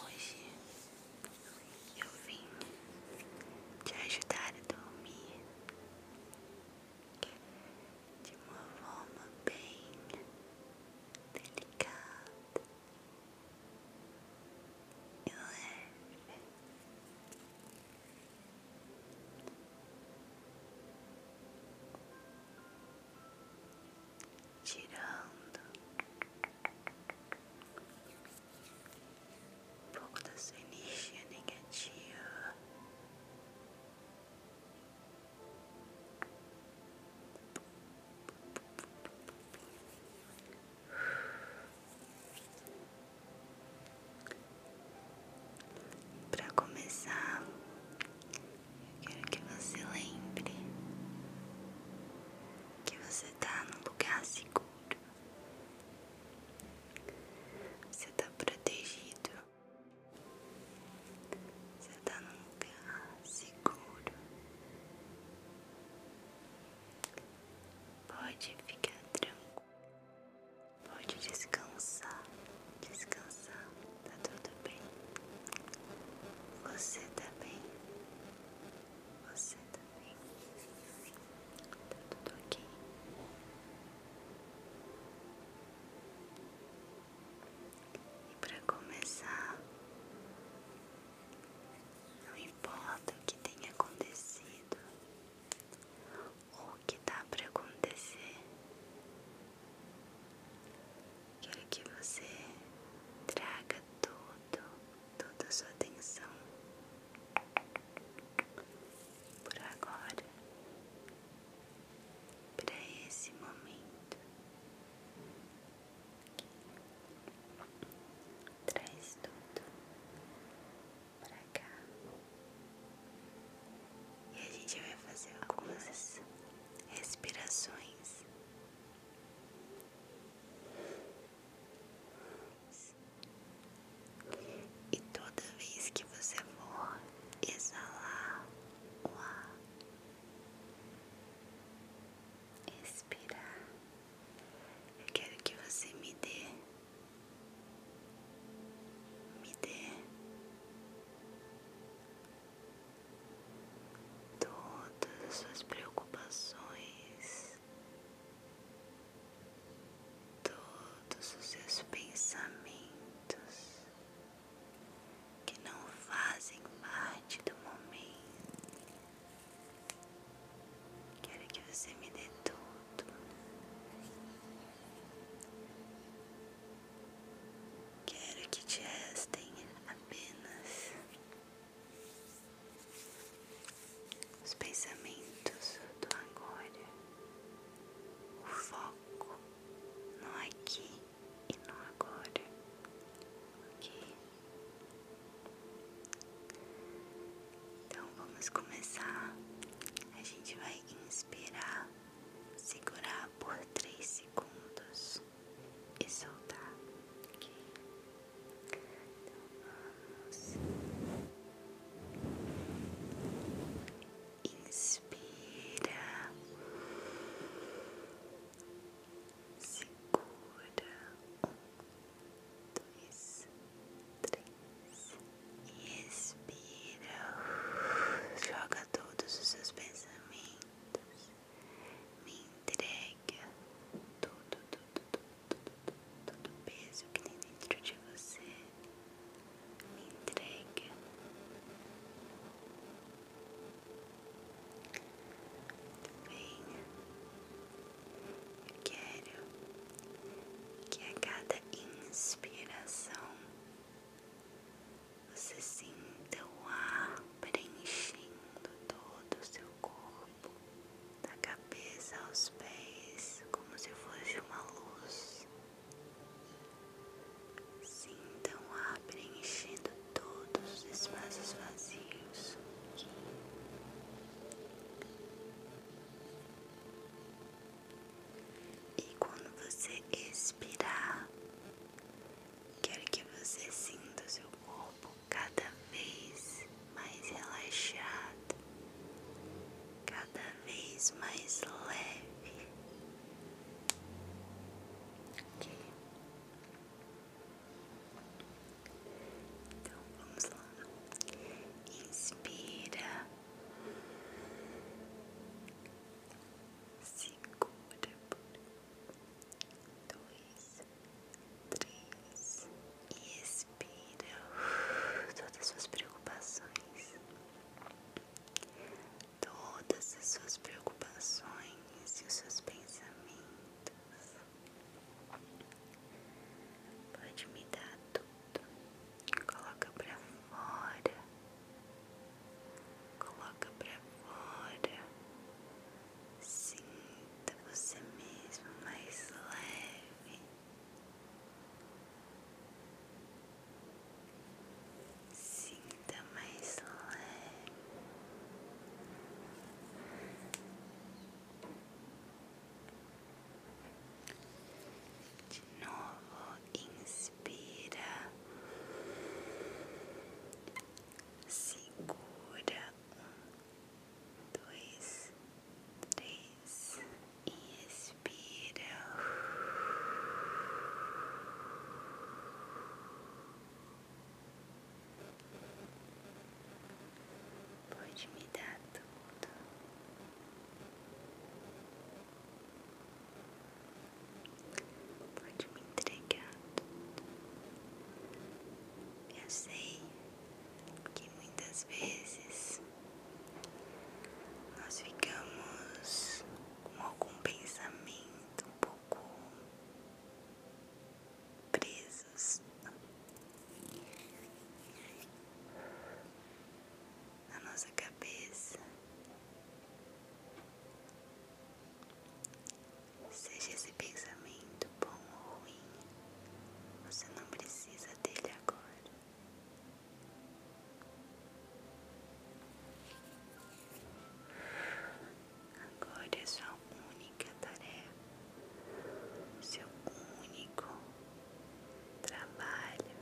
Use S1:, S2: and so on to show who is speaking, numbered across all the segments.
S1: Hoje eu vim te ajudar a dormir de uma forma bem delicada e leve tirando um pouco da sua energia negativa, para começar eu Quero que você lembre que você está num lugar seguro. Você está protegido. Você está num lugar seguro. Pode ficar tranquilo. Pode descansar descansar, tá tudo bem. Você tá bem? Você tá bem? Tá tudo ok? E pra começar, não importa o que tenha acontecido ou o que dá pra acontecer. Quero que você traga tudo, toda sua atenção por agora para esse momento. Traz tudo para cá. E a gente vai fazer algumas respirações. E toda vez que você for exalar o ar, expirar, eu quero que você me dê, me dê todas as suas preocupações, todos os seus pensamentos que não fazem parte do momento. Quero que você me dê tudo. Quero que te restem apenas os pensamentos do agora, o foco no aqui e no agora, ok? Então vamos começar. A gente vai inspirar segurar por três segundos e soltar, ok? Então vamos. Inspira, segura, um, dois, três, e expira, joga todos os seus pensamentos. Me entrega tudo, tudo, tudo, tudo, tudo tudo tudo peso que tem dentro de você. Me entrega. Venha. Eu quero que a cada inspiração você sinta o ar preenchendo todo o seu corpo, da cabeça aos pés, como se fosse uma luz. Sinta o ar preenchendo todos os espaços vazios. E quando você expirar, quero que você sinta o seu corpo cada vez mais relaxado, cada vez mais leve. Ok? Então vamos lá. Inspira segura por dois, três e expira todas as suas preocupações, todas as suas preocupações e os seus pensamentos. Pode me dar tudo dentro, coloca pra fora, coloca pra fora, sinta você mesmo mais leve, sinta mais leve. De novo, inspira, segura um, dois, três e expira. Pode me dar tudo. Pode me entregar Eu sei que muitas vezes nós ficamos com algum pensamento um pouco presos na nossa cabeça, seja esse pensamento bom ou ruim, você não precisa dele agora. Agora é sua única tarefa, seu único trabalho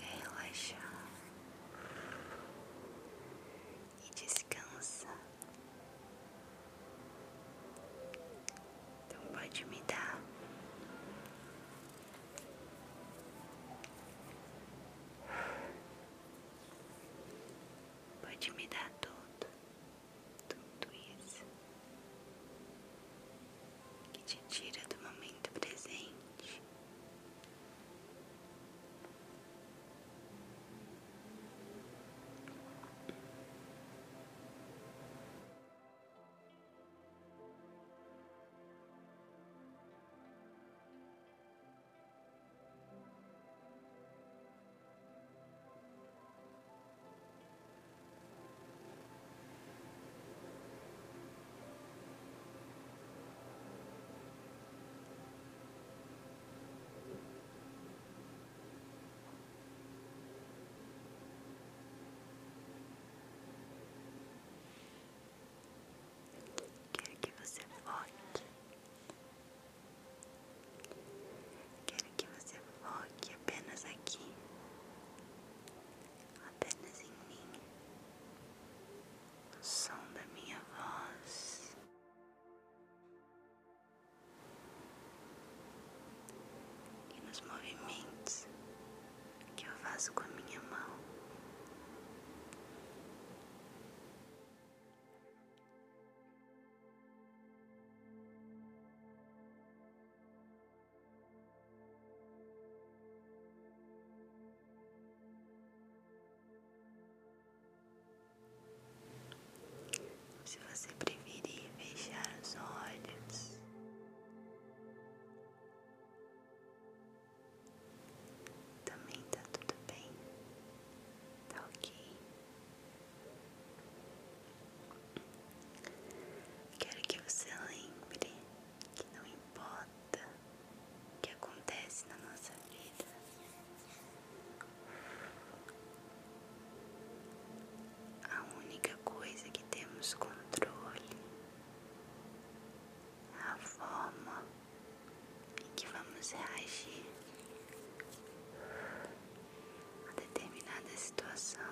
S1: é relaxar e descansar. Então pode me dar pode me dar tudo tudo isso que te tira do momento presente. O que você pode? Quero que você foque apenas aqui, apenas em mim, no som da minha voz. E nos movimentos que eu faço com a minha mão. Se você preferir fechar os olhos, também tá tudo bem, tá ok. Quero que você lembre que não importa o que acontece na nossa vida, a única coisa que temos controle é a forma e que vamos reagir a determinada situação.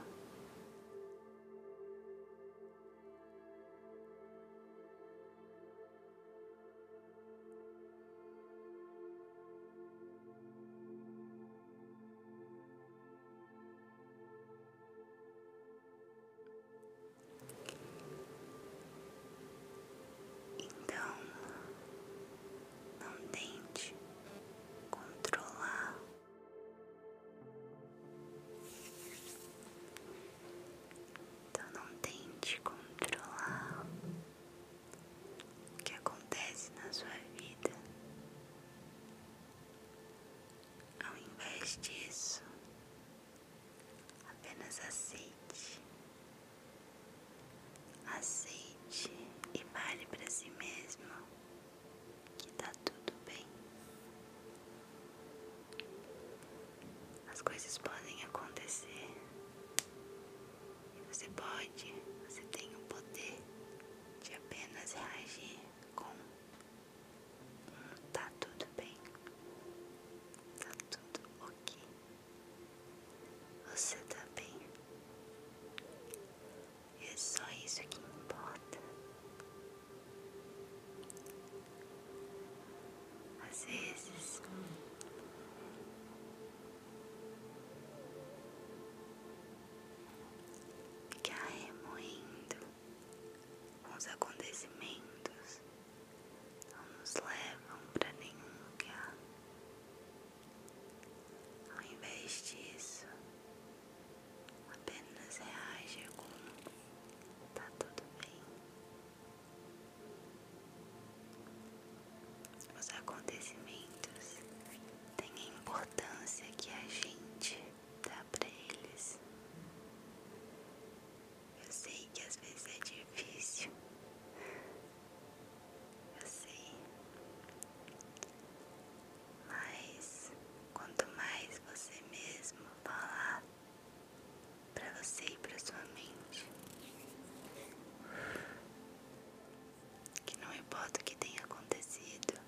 S1: Então, não tente controlar. Então, não tente controlar o que acontece na sua vida. Ao invés disso, apenas aceite Aceite e fale para si mesmo que tá tudo bem. As coisas podem acontecer e você pode, você tem o poder de apenas reagir com um tá tudo bem, tá tudo ok. Você tá bem? É só isso que importa. Às vezes ficar remoendo com os acontecimentos não nos levam para nenhum lugar. Ao invés disso, apenas reage com está tudo bem. Os acontecimentos têm a importância que a gente dá para eles. Eu sei que às vezes é difícil. Eu sei. Mas quanto mais você mesmo falar para você e para sua mente, que não importa o que tenha acontecido,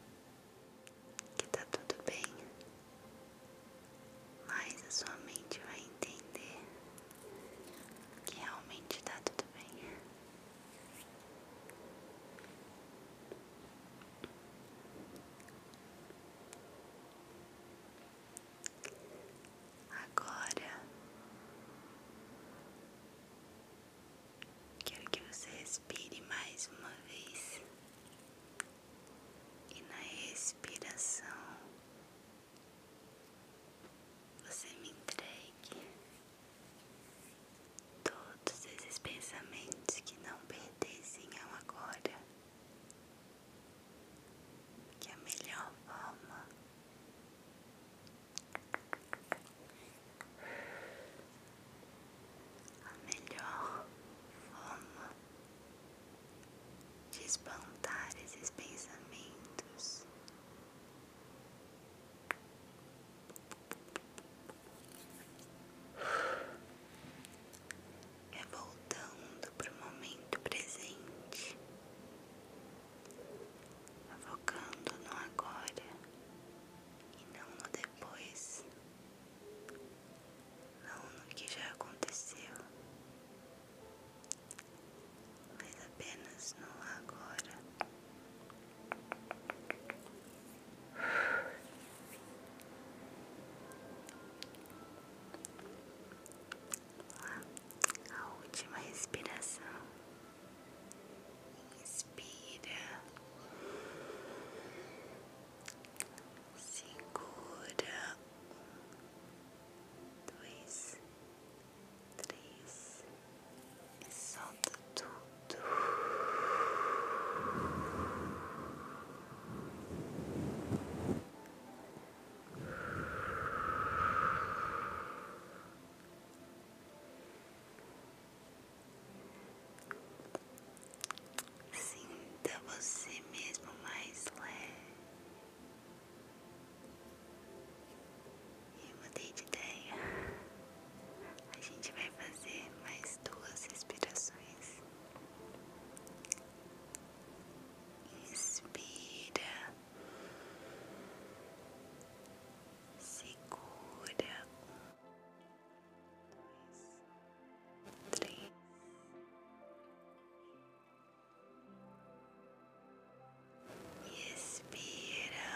S1: que tá tudo bem, mas a sua mente vai entender que realmente está tudo bem. Agora quero que você respire mais uma vez e na expiração você me entregue todos esses pensamentos que não pertencem ao agora. Que é a melhor forma a melhor forma de espantar esses pensamentos. É voltando para o momento presente, focando no agora e não no depois, não no que já aconteceu, mas apenas não agora. A última respiração. Inspira segura dois, três e solta tudo. Sinta você mesmo mais leve. Eu mudei de ideia. A gente vai fazer mais duas respirações. Inspira, segura três, e expira.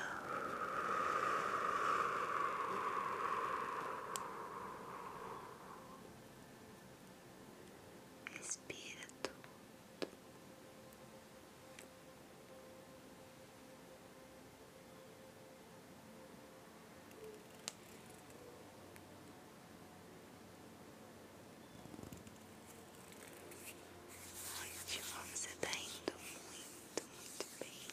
S1: Respira tudo. Ótimo, você está indo muito, muito bem.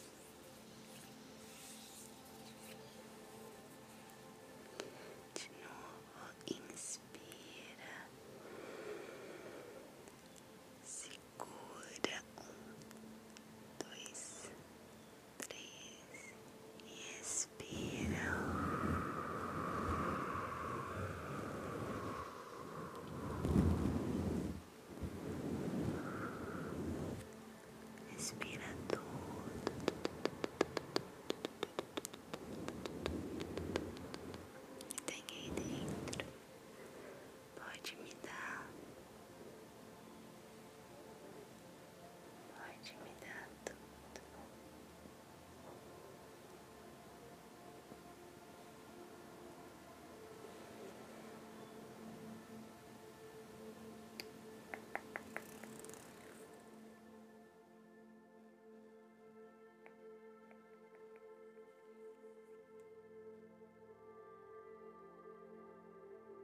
S1: De novo, inspira, segura um, dois, três e expira. expira tudo. Tem aí dentro. Pode me dar Pode me dar tudo.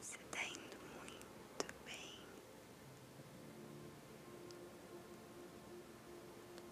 S1: Você está indo muito bem.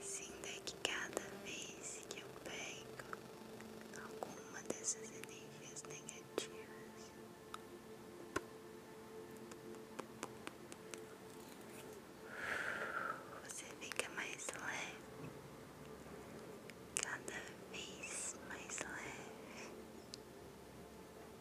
S1: Sinta que cada vez que eu pego alguma dessas energias negativas, você fica mais leve, cada vez mais leve.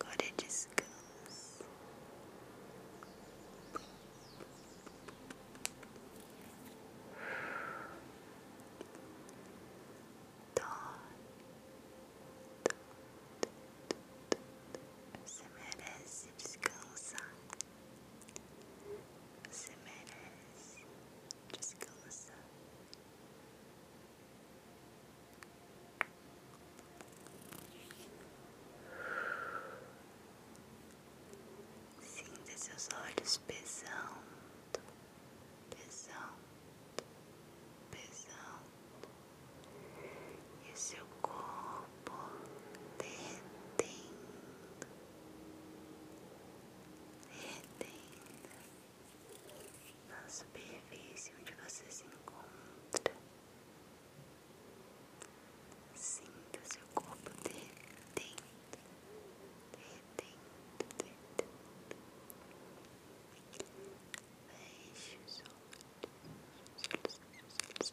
S1: Agora é descansa. Você merece descansar. Você merece descansar. Sinta seus olhos pesando, pesando, pesando, e seu corpo derretendo, derretendo na superfície onde você se encontra. Sinta seu corpo derretendo, derretendo, derretendo. Feche os olhos. os